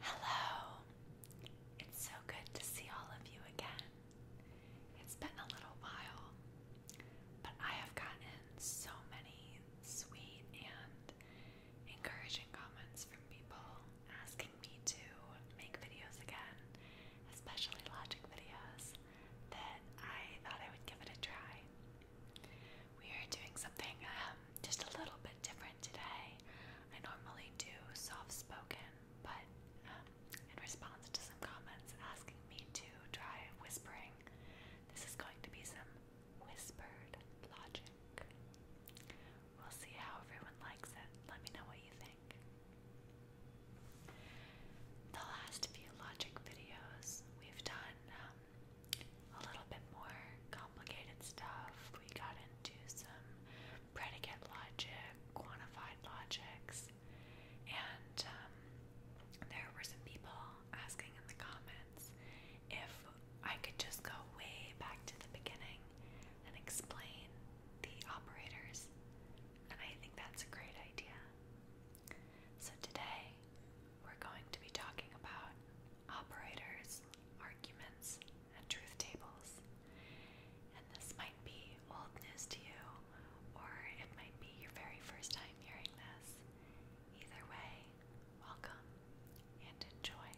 Hello! It's so good to see all of you again. It's been a little while, but I have gotten so many sweet and encouraging comments from people asking me to make videos again, especially logic videos, that I thought I would give it a try. We are doing something um, just a little bit different today. I normally do soft spoken, but um, in response to some comments asking me to try whispering, this is going to be some whispered logic. We'll see how everyone likes it. Let me know what you think. The last few logic videos, we've done um, a little bit more complicated stuff. We got and do some predicate logic, quantified logics, and um, there were some people asking in the comments if I could just go way back to the beginning and explain the operators, and I think that's a great idea. So today, we're going to be talking about operators, arguments, and truth tables. And this might be old news to you, or it might be your very first time hearing this. Either way, welcome and enjoy.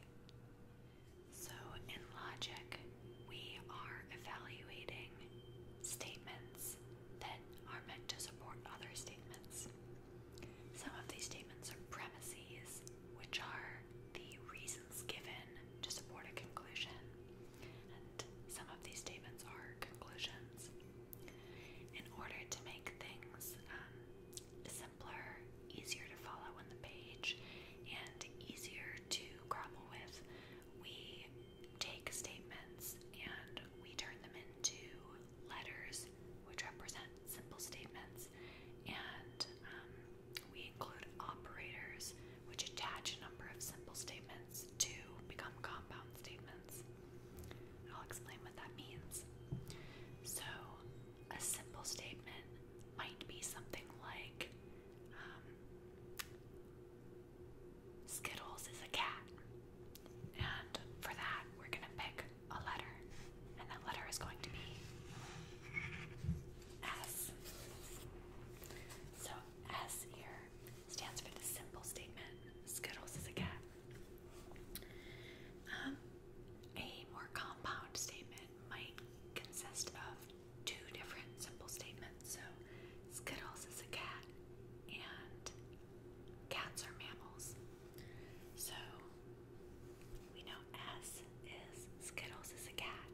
So, in logic, we are evaluating statements that are meant to support other statements. Some of these statements are premises, which are the reasons given to support a conclusion, and some of these statements are conclusions. In order to make things um, simpler, easier to follow on the page, and easier to grapple with, we take statements and we turn them into letters which represent simple statements and um, we include operators, which attach a number of simple statements to become compound statements. I'll explain what that means. So, a simple statement might be something like um, Skittles is a cat. And for that, we're going to pick a letter. And that letter is going to be S. So S here stands for the simple statement Skittles is a cat. Um, a more compound statement might consist of two different simple statements. So Skittles is a cat and cats are mammals. So we know S is Skittles is a cat,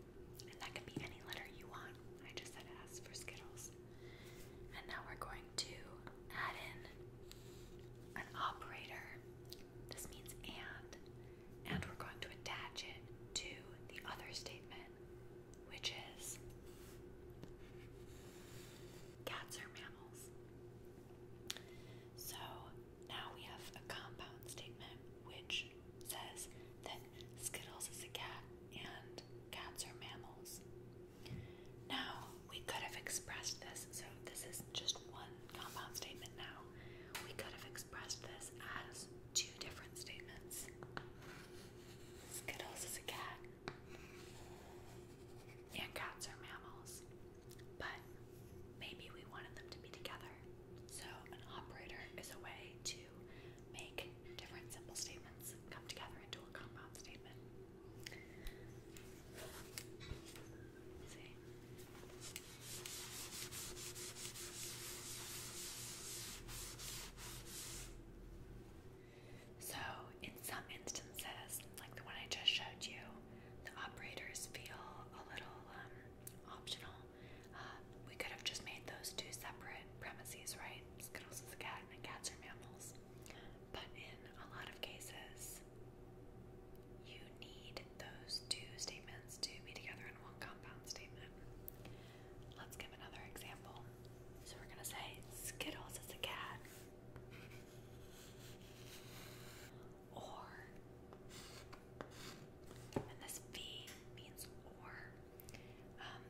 and that can be any letter you want. I just said S for Skittles. And now we're going to add in an operator. This means and, and we're going to attach it to the other statement, which is cats are mammals. So now we have a compound statement which says that Skittles is a cat and cats are mammals. Now, we could have expressed this, so this is just one compound statement now. We could have expressed this as two different statements. Skittles is a cat, and cats are mammals, but maybe we wanted them to be together. So, an operator is a way to make different simple statements come together into a compound statement. see. So, in some instances, like the one I just showed you, the operators feel a little um, optional. Uh, we could have just made those two separate premises, right? Skittles is a cat and cats are mammals. But in a lot of cases, you need those two statements to be together in one compound statement. Let's give another example. So we're going to say Skittles is a cat or. And this V means or. Um,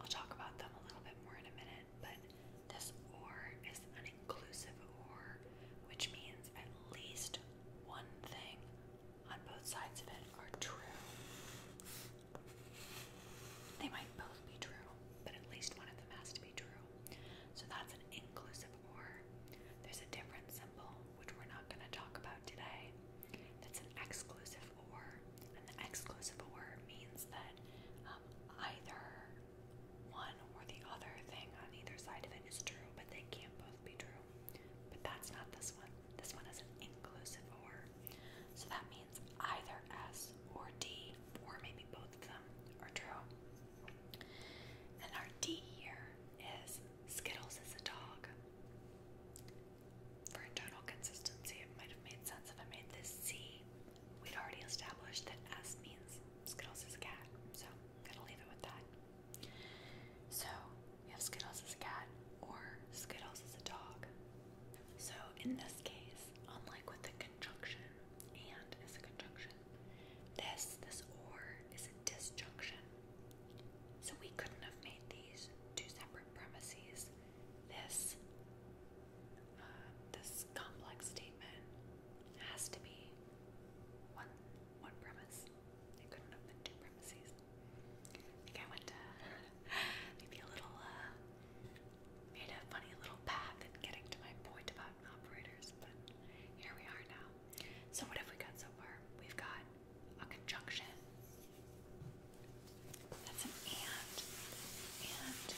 I'll talk about them a little bit more in a minute, but this or is an inclusive or, which means at least one thing on both sides of it are true. They might both be true, but at least one of them has to be true. So that's an inclusive or. There's a different symbol which we're not going to talk about today, that's an exclusive or. And the exclusive or means that um, either one or the other thing on either side of it is true, but they can't both be true. But that's not this one. This one is an inclusive or. So that means either S or D, or maybe both of them, are true. And our D here is Skittles is a dog. For internal consistency, it might have made sense if I made this C. We'd already established that S means Skittles is a cat, so I'm gonna leave it with that. So, we have Skittles is a cat, or Skittles is a dog. So, in this case, unlike with the conjunction, and as a conjunction, this, this or, is a disjunction. So we couldn't have made these two separate premises. This uh, this complex statement has to be one one premise. It couldn't have been two premises. I think I went to maybe a little uh, made a funny little path in getting to my point about operators, but here we are now. So what have we got so far? We've got a conjunction. That's an and. And.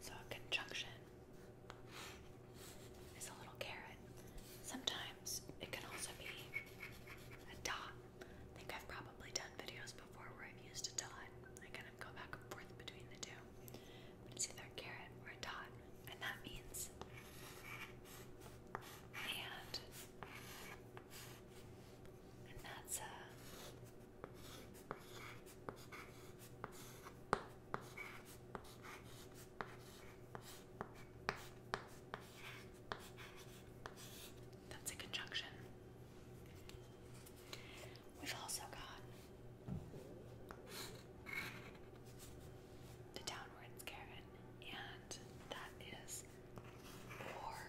So a conjunction is a little carrot. Sometimes it can also be a dot. I think I've probably done videos before where I've used a dot. I kind of go back and forth between the two. It's either Garrett or Todd, and that means And that's a. That's a conjunction. We've also got the downwards Karen, and that is or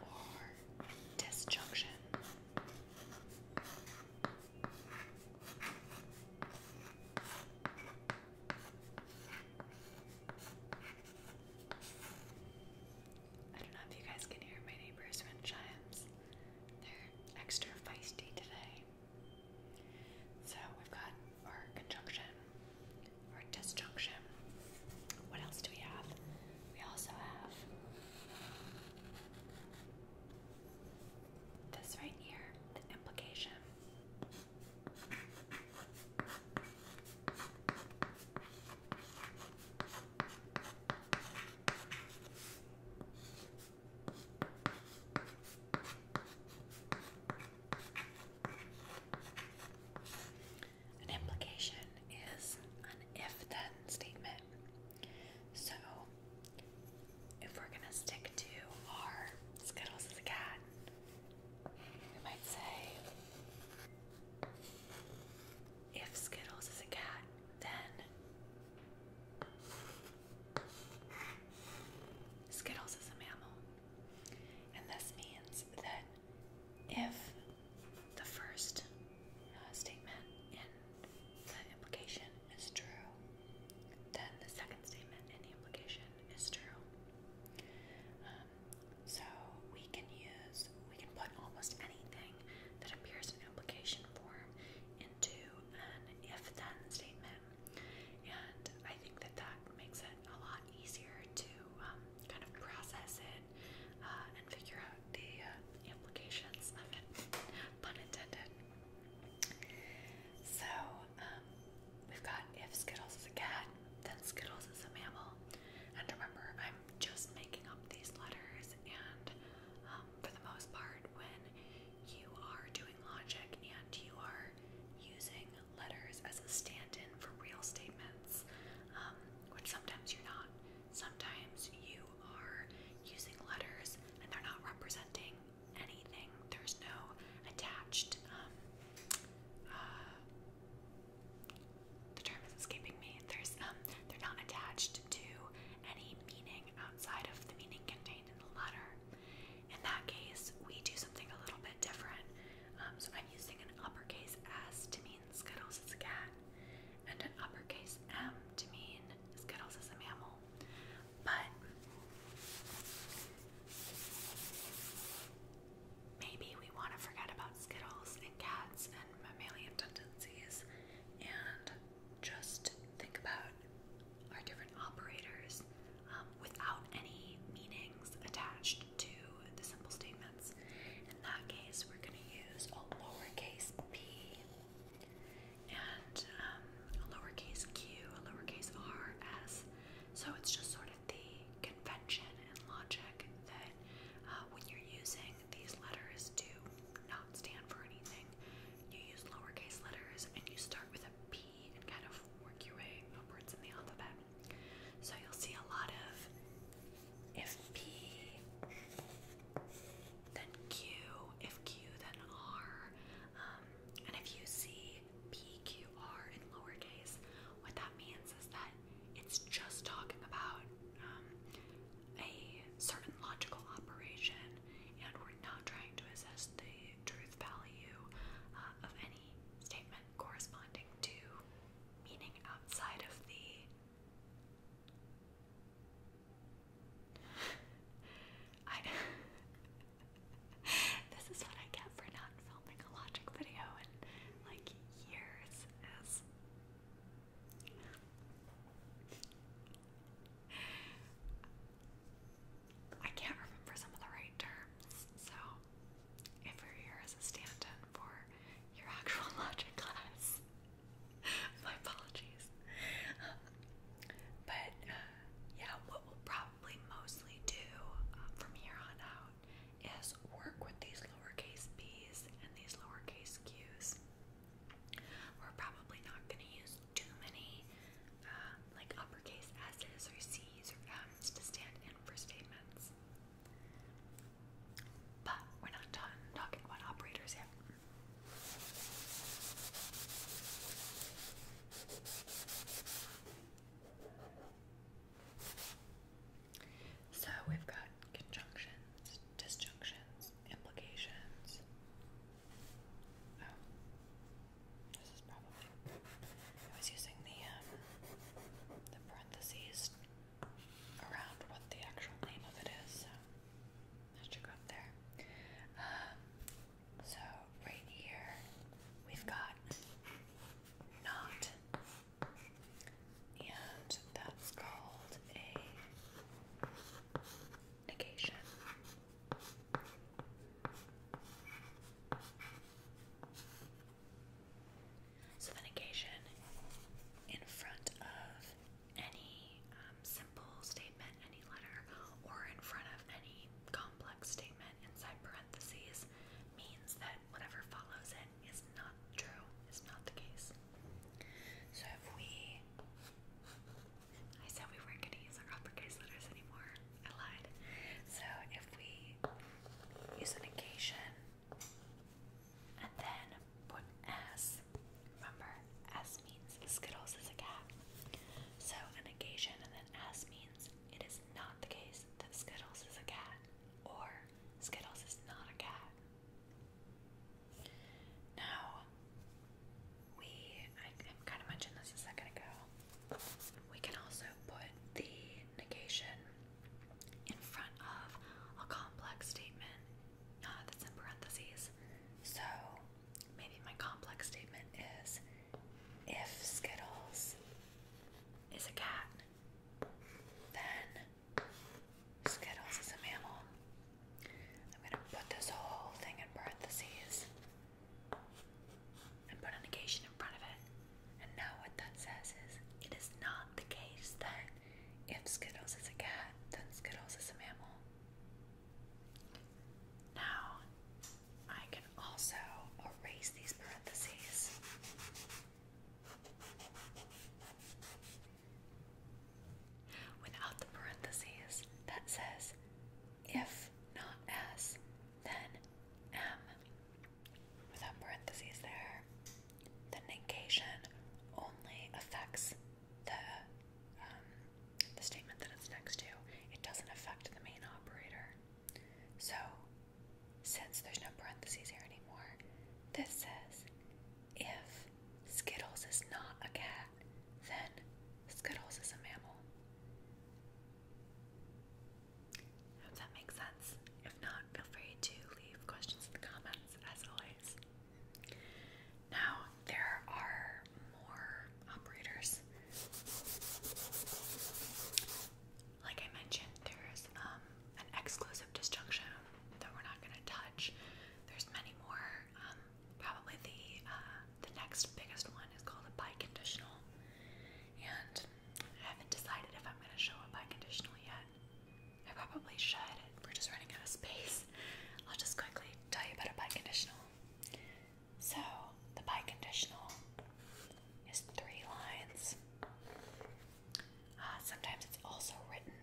or disjunction. I don't know if you guys can hear my neighbor's wind chimes. They're extra feisty today. So we've got our conjunction, our disjunction. What else do we have? We also have this right here, the implication. An implication is an if then statement. So, if we're going to stick to our Skittles is a cat, we might say, if Skittles is a cat, then Skittles is a mammal, and this means that if the first uh, statement in the implication is true, then the second statement in the implication is true. Um, so we can use, we can put almost anything that appears in implication form into an if then statement. And I think that that makes it a lot easier to um, kind of process it uh, and figure out the uh, implications of it, pun intended. So um, we've got if Skittles is a cat, then Skittles is a mammal. And remember, I'm just making up these letters, and um, for the most part, when you are doing logic and you are using letters as a stand in for real statements, um, which sometimes you're not. Sometimes you are using letters and they're not representing anything, there's no attached. Um, uh, the term is escaping me. There's um, they're not attached to any meaning outside of the meaning contained in the letter, in that case, we do something a little bit different. Um, so I'm using an uppercase S to mean Skittles is a cat, and an uppercase M to mean Skittles is a mammal. But maybe we want to forget about Skittles and cats and mammalian tendencies and just think about or different operators um, without any meanings attached to the simple statements. In that case, we're going to use a lowercase p and um, a lowercase q, a lowercase r, s. So it's just sort of the convention and logic that uh, when you're using these letters to not stand for anything, you use lowercase letters and you start with a p and kind of work your way upwards in the alphabet. So you'll see a lot of if then Q, then R. Um, and if you see P, Q, R in lowercase, what that means is that it's just talking about um, a certain logical operation, and we're not trying to assess the truth value uh, of any statement corresponding to meaning outside of the. this is what I get for not filming a logic video in like years I can't remember some of the right terms, so if you're here as a stand-in for your actual logic class, my apologies. but uh, yeah, what we'll probably mostly do uh, from here on out is work with these lowercase b's and these lowercase q's. We're probably not going to use too many uh, like uppercase S's or M's to stand in for statements. But we're not done talking about operators yet. So we've got conjunctions, disjunctions, implications, Oh. This is probably. I was using the um, the parentheses around what the actual name of it is, so that up there. Um, so right here we've got not, and that's called a negation. So, negation in front of any um, simple statement, any letter, or in front of any complex statement inside parentheses means that whatever follows it is not true, is not the case. So, if we I said we weren't going to use our uppercase letters anymore. I lied. So if we use a negation and then put S, remember S means Skittles is a cat. So a negation and then S means it is not the case that Skittles is a cat or Skittles is not a cat. Now, we, kind of mentioned this a second ago. We can also put the negation in front of a complex statement uh, that's in parentheses. So maybe my complex statement is if Skittles is a cat, then Skittles is a mammal. I'm going to put this whole thing in parentheses and put a negation in front of it. And now what that says is it is not the case that if Skittles is a cat, then Skittles is a mammal. Now I can also erase these parentheses. Without the parentheses, that says if not S, then M. Without parentheses there, the negation only affects the um, the statement that it's next to. It doesn't affect the main operator. So, since there's no parentheses here anymore, this says if Skittles is not a cat, then Skittles is a mammal. I hope that makes sense. If not, feel free to leave questions in the comments as always. Now, there are more operators. Like I mentioned, there's um, an exclusive disjunction that we're not going to touch. There's many more. Um, probably the uh, the next biggest one is called a biconditional, and I haven't decided if I'm going to show a biconditional yet. I probably should. We're just running out of space. I'll just quickly tell you about a biconditional. So, the biconditional is three lines. Uh, sometimes it's also written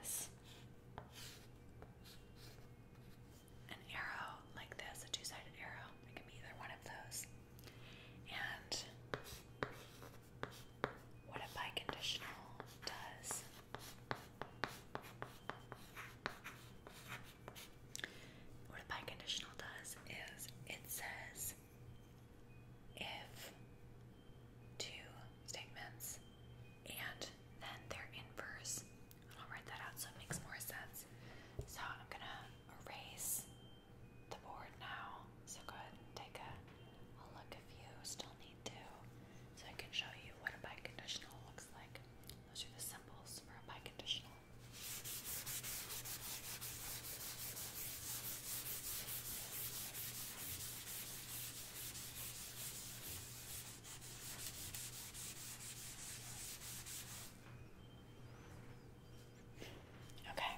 as an arrow like this, a two sided arrow. It can be either one of those. And what a biconditional does what a biconditional does is it says if two statements and then their inverse. I'll write that out so it makes more sense. So I'm gonna erase the board now. So go ahead and take a, look if you still need to. So I can show you what a biconditional looks like. Those are the symbols for a biconditional. Okay, Okay,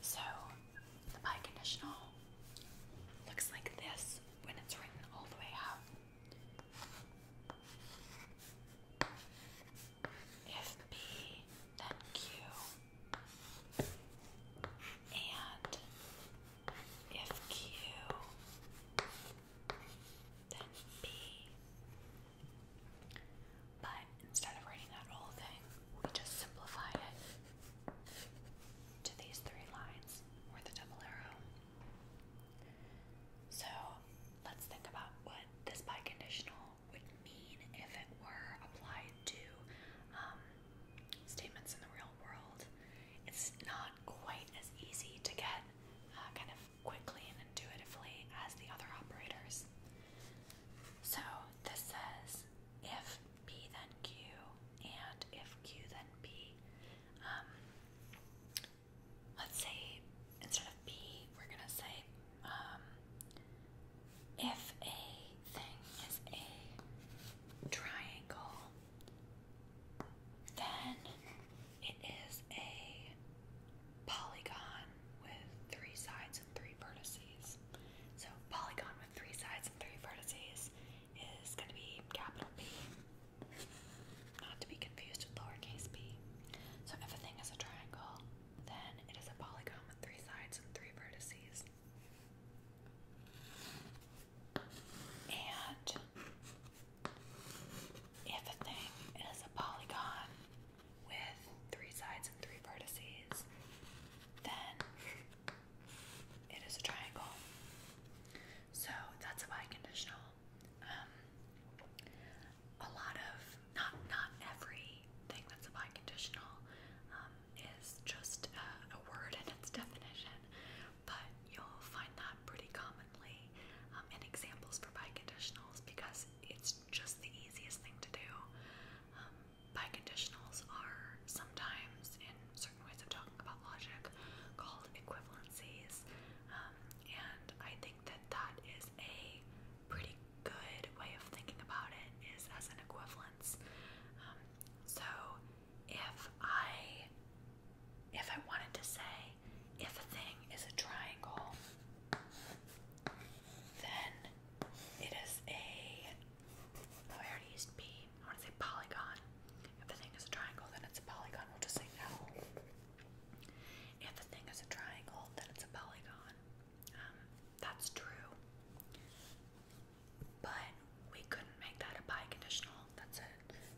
so the biconditional looks like this when it's written all the way out. If P, then Q, and if Q, then P, but instead of writing that whole thing, we just simplified it to these three lines or the double arrow. So let's think about what this biconditional would mean if it were applied to um, statements in the real world. It's not quite as easy to get uh, kind of quickly and intuitively as the other operators. So this says if P then Q and if Q then P. Um, let's say instead of P, we're going to say um, if a thing is a triangle, then it is a polygon with three sides and three vertices. So polygon with three sides and three vertices is going to be capital P, not to be confused with lowercase p. So if a thing is a triangle, then it is a polygon with three sides and three vertices. And if a thing is a polygon with three sides and three vertices, then it is a triangle. So that's a biconditional. Um, a lot of not not every thing that's a biconditional um, is just a, a word and its definition, but you'll find that pretty commonly um, in examples for biconditionals because it's just the easiest thing to do. Um, biconditionals are sometimes, in certain ways of talking about logic, called equivalencies, um, and I think that that is a pretty good way of thinking about it is as an equivalence. Um, so if I if I wanted to say if a thing is a triangle, then it is a. Oh, already used B. I want to say polygon. If the thing is a triangle, then it's a polygon. We'll just say no. If the thing is a triangle, then it's a polygon. Um, that's true. But we couldn't make that a biconditional. That's a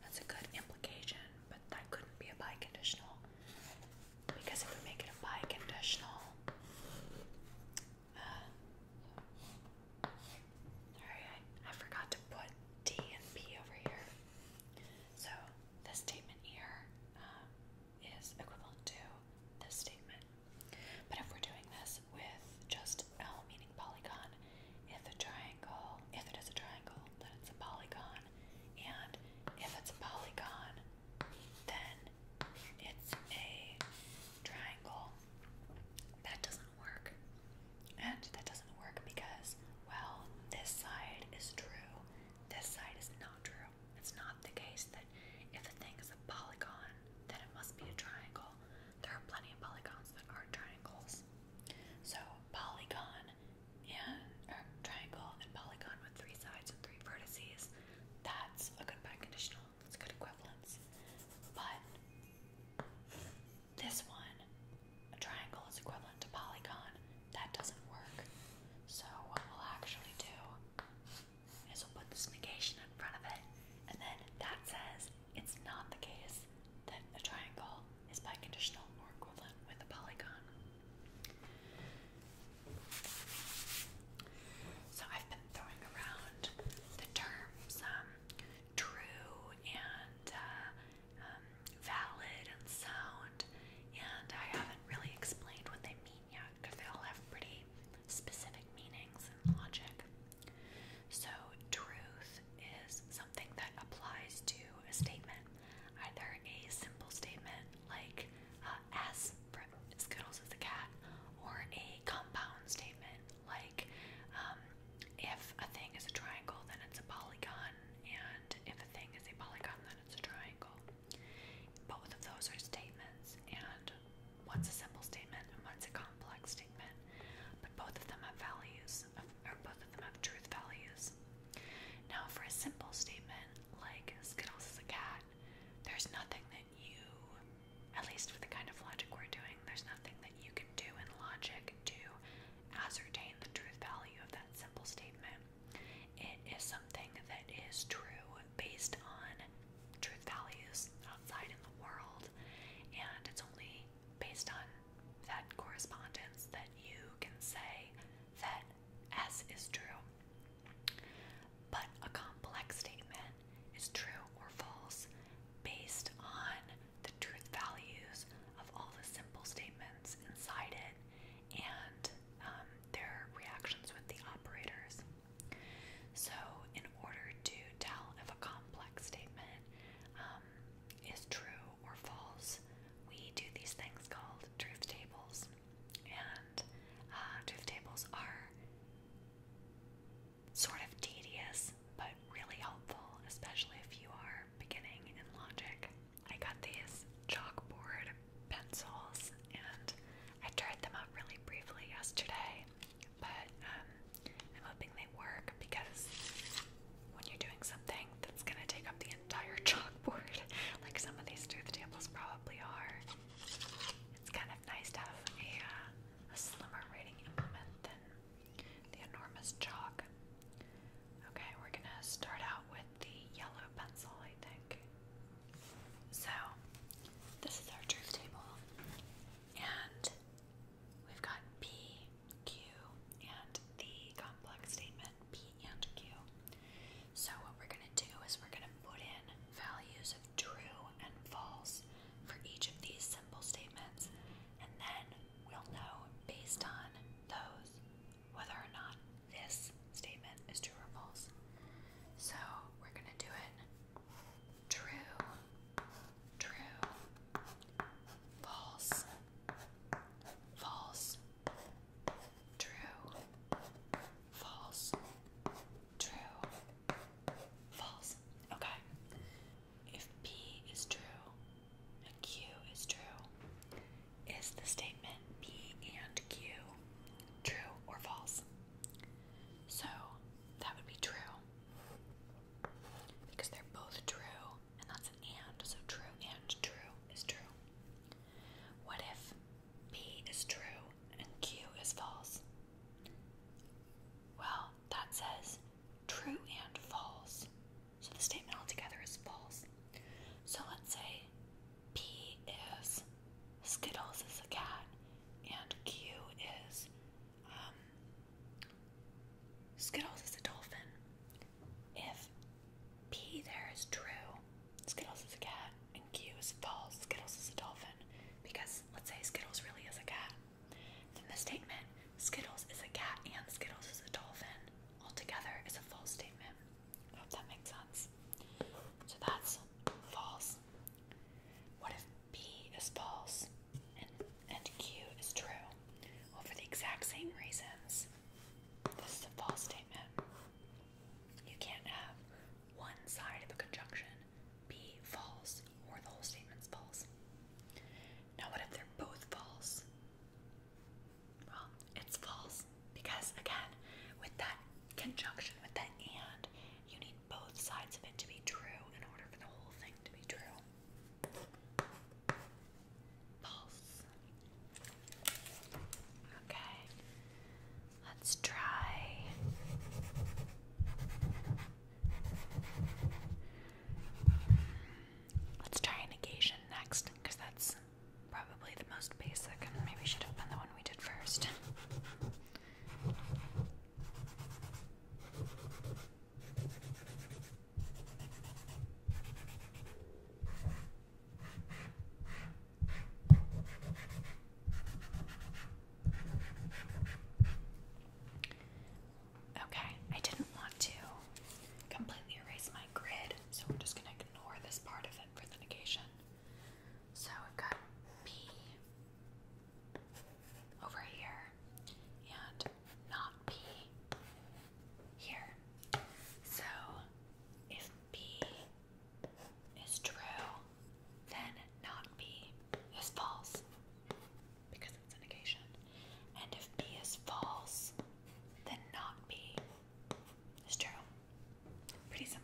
that's a good implication, but that couldn't be a biconditional because if we make it a biconditional, uh, sorry, I, I forgot to put D and P over here. So this statement here uh, equivalent to this statement. But if we're doing this with just L meaning polygon, if a triangle, if it is a triangle, then it's a polygon, and if it's a polygon, then it's a triangle. That doesn't work. And that doesn't work because, well, this side is true, this side is not true. It's not the case that if a thing is a polygon, then it must be a triangle. There are plenty of polygons that are triangles. So, polygon and triangle and polygon with three sides and three vertices that's a good bad conditional. It's good equivalence. But this one, a triangle is equivalent to polygon. That doesn't work. So what we'll actually do is we'll put this negation in front of it, and then that says it's not the case that a triangle is biconditional or equivalent with a polygon. So I've been throwing around the terms um, true and uh, um, valid and sound, and I haven't really explained what they mean yet because they all have pretty specific meanings and logic. So, truth is something that applies to a statement, either a simple statement like, S from Skittles is the cat, or a compound statement like um, if a thing is a triangle, then it's a polygon, and if a thing is a polygon, then it's a triangle. Both of those are statements, and one's a simple statement and one's a complex statement, but both of them have values, or both of them have truth values. Now, for a simple statement like Skittles is a cat, there's nothing that you, at least with the kind of logic we're doing, there's nothing that you can do in logic to ascertain the truth value of that simple statement. It is something that is true based on truth values outside in the world, and it's only based on that correspondence that you can say that as is true. But a complex statement is true or false based on the truth values of all the simple statements inside it and um, their reactions with the operators. So, in order to tell if a complex statement um, is true or false, we do these things called truth tables and uh, tables are sort of tedious but really helpful, especially if you are beginning in logic. I got these chalkboard pencils and I tried them out really briefly yesterday, but um, I'm hoping they work because when you're doing something that's going to take up the entire chalkboard, like some of these tooth tables probably are, it's kind of nice to have a uh, slimmer writing implement than the enormous chalk. Okay, we're gonna start out with the yellow pencil, I think. So, this is our truth table, and we've got P, Q, and the complex statement P and Q. So, what we're going to do is we're going to put in values of true and false for each of these simple statements, and then we'll know based on those whether or not this statement is true or false. So, we're going to do it true, true, false, false, true, false. True. False. Okay. If P is true and Q is true, is the statement P and Q true or false? So that would be true because they're both true and that's an and, so true and true is true. What if P is true and Q is false. Well, that says true and false. So the statement altogether is false. So let's say P is Skittles is a cat and Q is um, Skittles is a dolphin. If P there is true Skittles is a cat and Q is false. Skittles is a dolphin. Because let's say Skittles really is a cat. Then the statement Skittles is a cat and Skittles is a dolphin altogether is a false statement. hope that makes sense. So that's false. What if B is false and, and Q is true? Well, for the exact same reasons, this is a false statement. You can't have one side of a conjunction B. False, or the whole statement's false. Now, what if they're both false? Well, it's false because, again, with that conjunction, with that and, you need both sides of it to be true in order for the whole thing to be true. False. Okay. Let's try. Let's try negation next, because that's probably the most basic, and maybe should have been the one we did first. Okay, I didn't want to completely erase my grid, so we're just going to ignore this part of it for the negation. So we've got over here and not P here. So if B is true, then not B is false because it's negation. And if B is false, then not B is true. Pretty simple.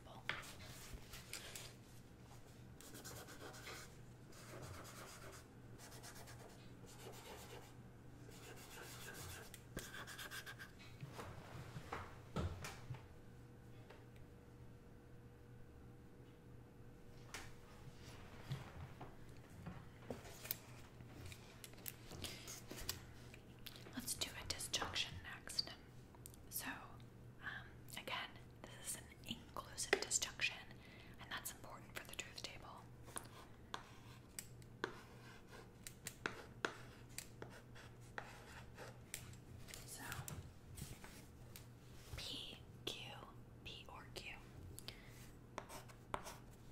Let's do a disjunction next. So, um, again, this is an inclusive disjunction, and that's important for the truth table. So, P, Q, P or Q.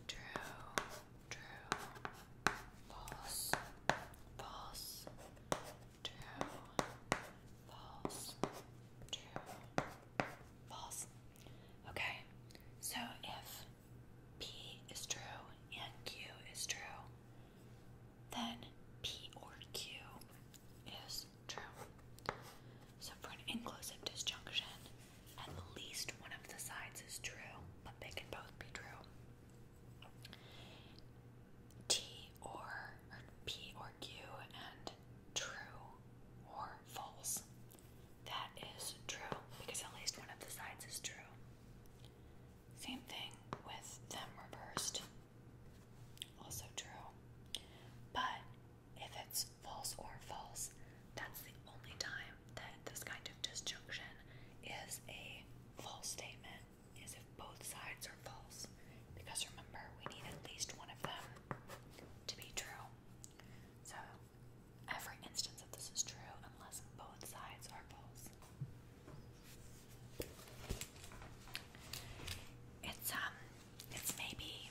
True, true, false, false, true, false, true, false. Okay, so if P is true and Q is true, then P or Q is true. So for an inclusive disjunction, at least one of the sides is true, but they can both be true. T or, P or Q and true or false. That is true because at least one of the sides is true. Same thing with them reversed. Also true. But if it's false or false, that's the only time that this kind of disjunction is a false statement, is if both sides are false. Because remember, we need at least one of them to be true. So every instance of this is true unless both sides are false. It's um it's maybe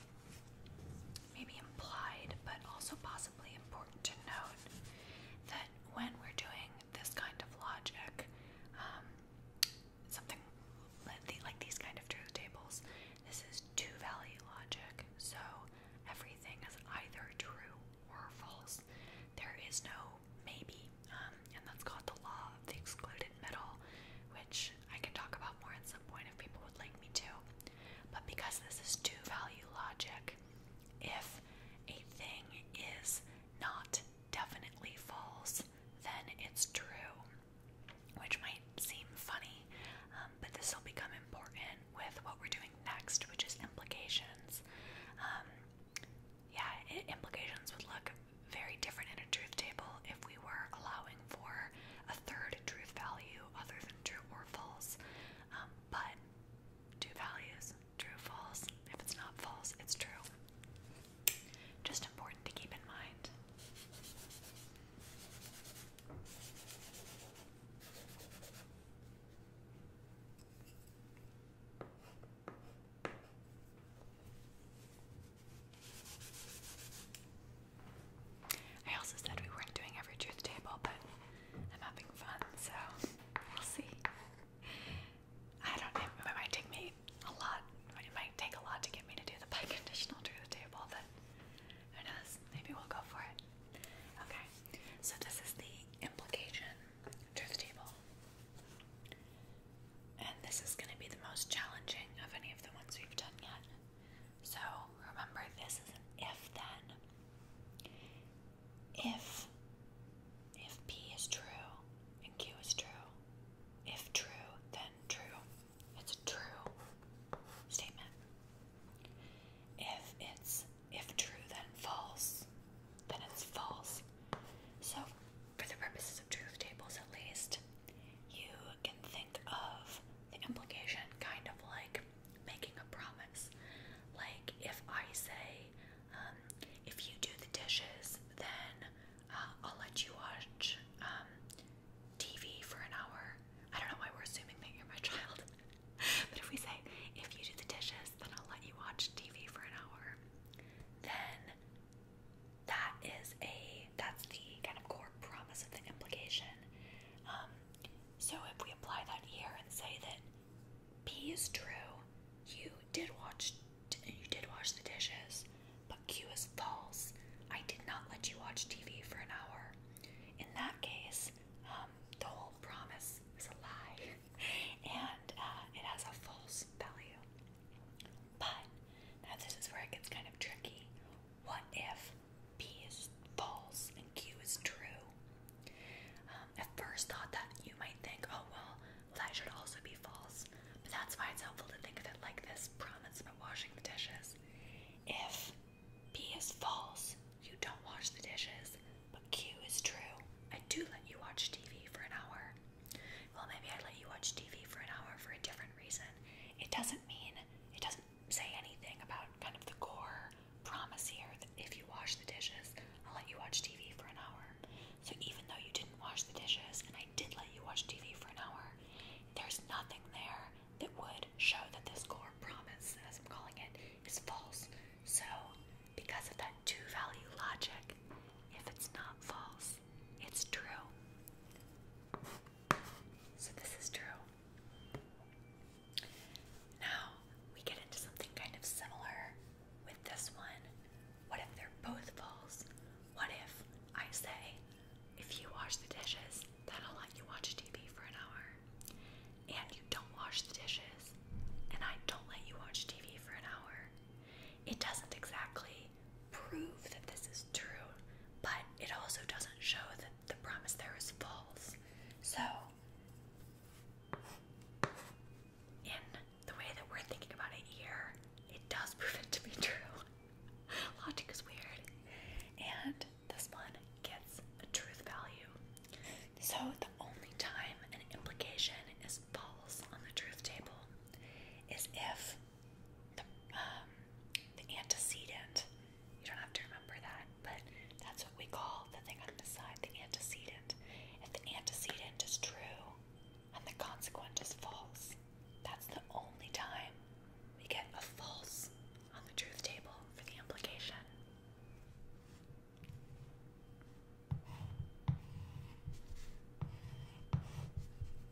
maybe implied but also possibly important to note that when we're doing this kind of logic, um, something like these kind of truth tables, this is two value logic, so everything is either true or false. There is no maybe um, and that's called The Law of the Excluded Middle, which I can talk about more at some point if people would like me to. But because this is two value logic, if a thing is not definitely false, then it's true, which might seem funny, um, but this will become important with what we're doing next, which is implications. Um, yeah, implications would look very different in a truth table if we were allowing for a third truth value other than true or false. Um, but two values, true, false. If it's not false, it's true. Just important to keep in mind. I also said we weren't doing every truth table, but I'm having fun, so we'll see. I don't it might take me a lot, it might take a lot to get me to do the biconditional truth table, but who knows, maybe we'll go for it. Okay, so this is the implication truth table. And this is going to be the most challenging of any of the ones we've done yet. So remember, this is an if then. If if P is true and Q is true, if true, then true. It's a true statement. If it's if true, then false, then it's false. So for the purposes of truth tables at least, you can think of the implication kind of like making a promise. Like if I say, um, if you do the dishes, then uh, I'll let you watch um, TV for an hour. I don't know why we're assuming that you're my child, but if we say, if you do the dishes, then I'll let you watch TV for an hour, then that is a that's the kind of core promise of the implication. Um, so if we apply that here and say that P is true, you did watch you did wash the dishes, but Q is false. I did not let you watch TV for an hour. In that case, um, the whole promise is a lie, and uh, it has a false value. But now this is where it gets kind of tricky. What if p is false and Q is true? Um, at first thought that you might think, oh well, that should also be false. But that's why it's helpful to think of it like this promise about washing the dishes. If B is false, you don't wash the dishes, but Q is true. I do let you watch TV for an hour. Well, maybe I'd let you watch TV for an hour for a different reason. It doesn't mean, it doesn't say anything about kind of the core promise here that if you wash the dishes, I'll let you watch TV for an hour. So even though you didn't wash the dishes and I did let you watch TV for an hour, there's nothing there that would show that this core promise, as I'm calling it, is false. So, because of that two value logic, if it's not false, it's true. So this is true. Now we get into something kind of similar with this one. What if they're both false? What if I say, if you wash the dishes, then I'll let you watch TV for an hour. And you don't wash the dishes, and I don't let you watch TV for an hour. It doesn't exactly prove that this is true, but it also doesn't show that the promise there is false. So, in the way that we're thinking about it here, it does prove it to be true. Logic is weird. And this one gets a truth value. So, the only time an implication is false on the truth table is if um, the, antecedent. You don't have to remember that, but that's what we call the thing on the side, the antecedent. If the antecedent is true and the consequent is false, that's the only time we get a false on the truth table for the implication.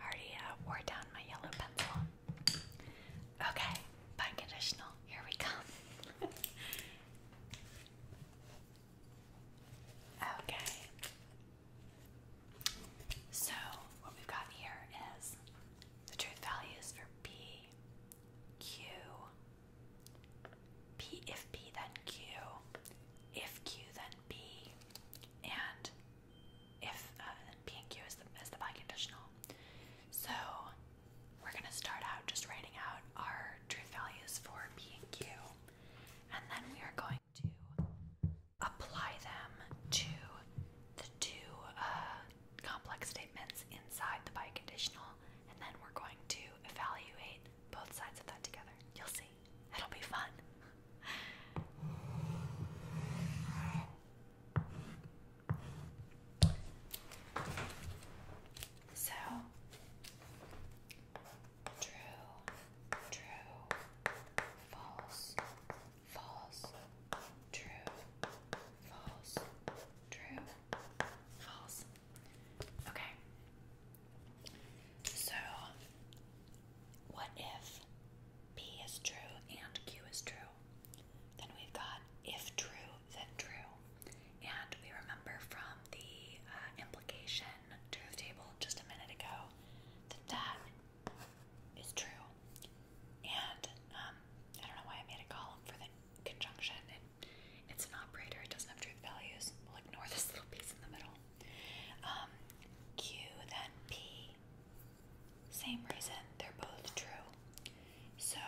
Already uh, wore down my yellow pencil. Okay, biconditional. Here we come. okay. So, what we've got here is the truth values for P, Q, P if P then Q, if Q then B, and if uh, P and Q is the biconditional. So we're gonna start out just writing out our truth values for P and Q, and then we are going to apply them to the two uh, complex statements inside the biconditional, and then we're going to evaluate both sides of that together. You'll see. It'll be fun. So, true, true, false, false, true, false, true, false. Okay. So, what if P is true and Q is true? Then we've got if true, then true. And we remember from the uh, implication truth table just a minute ago that that is true. And um, I don't know why I made a column for the conjunction. It, it's an operator, it doesn't have truth values. We'll ignore this little piece in the middle. Um, Q then P. Same reason, they're both true. So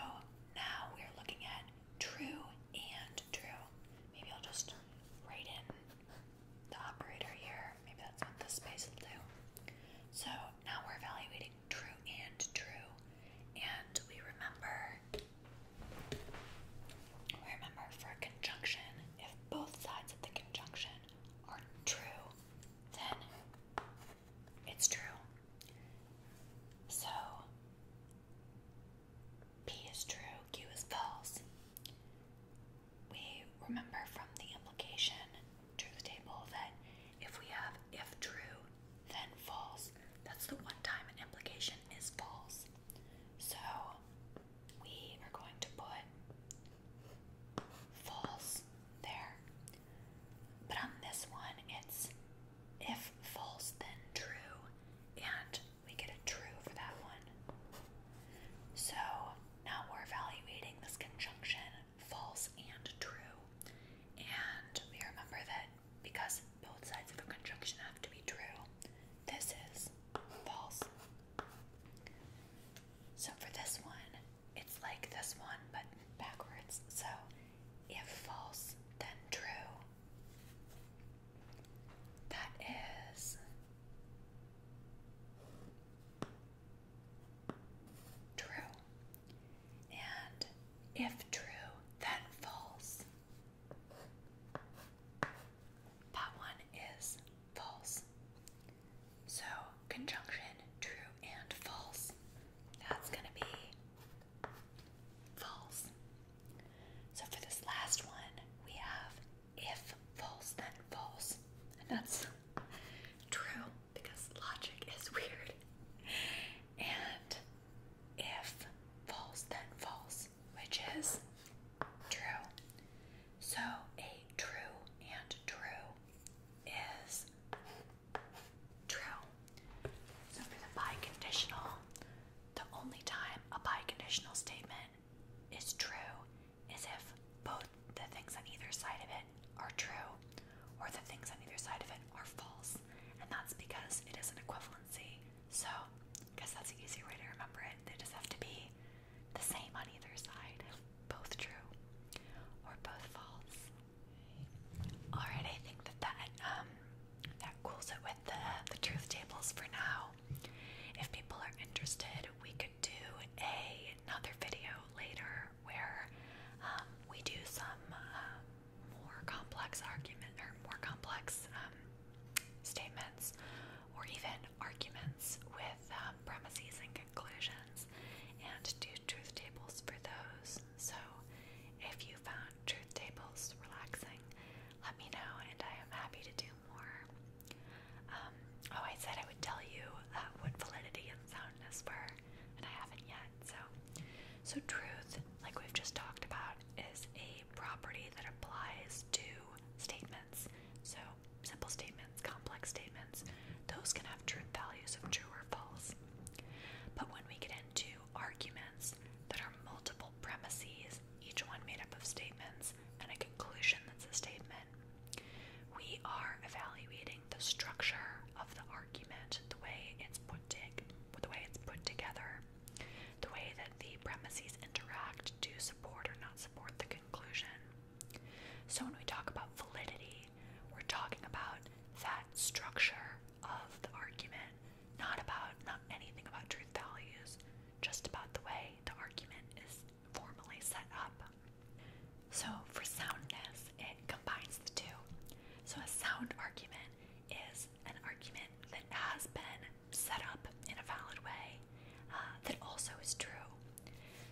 now we're looking at true and true. Maybe I'll just write in the operator here. Maybe that's what this space will do. So now we're evaluating true and true. And we remember we remember for a conjunction, if both sides of the conjunction are true, then it's true. So P is true, Q is false. We remember from the implication truth table that if we have if true, then false, that's the one time an implication is false. So we are going to put false there. But on this one, it's if false, then true, and we get a true for that one. So now we're evaluating this conjunction false and true, and we remember that because both sides of a conjunction have to be true, this is false. So for this one, it's like this one but backwards. So if false, then true. That is true. And if true, then false. That one is false. So, conjunction true and false. That's going to be false. So, for this last one, we have if false, then false. And that's true because logic is weird. And if false, then false, which is true. So a true and true is true. So for the biconditional, the only time a biconditional statement is true is if both the things on either side of it are true or the things on either side of it are false. And that's because it is an equivalency. So, guess that's an easier way to remember it. They just have to be the same on either side, both true or both false. Alright, I think that that um that cools it with the the truth tables for now. If people are interested, we could do another video later where um, we do some um, more complex argument or more complex um, statements or even arguments with um, premises and conclusions, and do truth tables for those. So, if you found truth tables relaxing, let me know, and I am happy to do more. Um, oh, I said I would tell you uh, what validity and soundness were, and I haven't yet. So, so truth, like we've just talked about, is a property that applies to statements. So, simple statements, complex statements, those can have truth values of true or false. But when we get into arguments that are multiple premises, each one made up of statements, and a conclusion that's a statement, we are evaluating the structure of the argument, the way it's put, the way it's put together, the way that the premises interact to support or not support the conclusion. So when we talk about validity, we're talking about that structure of the argument, not about not anything about truth values, just about the way the argument is formally set up. So for soundness, it combines the two. So a sound argument is an argument that has been set up in a valid way uh, that also is true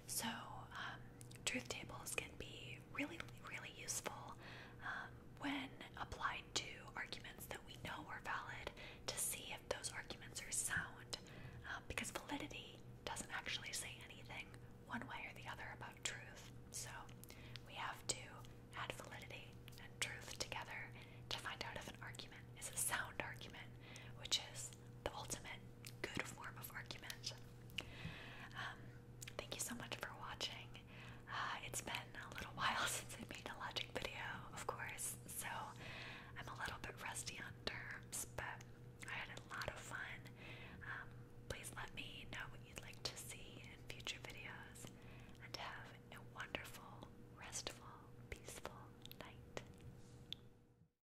so, um, truth tables can be really, really useful um, when applied to arguments that we know are valid to see if those arguments are sound, um, because validity doesn't actually say anything one way or the other about truth. So, we have to add validity and truth together to find out if an argument is a sound argument, which is the ultimate good form of argument. Um, thank you so much for watching. Uh, it's been a little while since I made a logic video, of course, so I'm a little bit rusty on terms, but I had a lot of fun. Um, please let me know what you'd like to see in future videos, and have a wonderful, restful, peaceful night.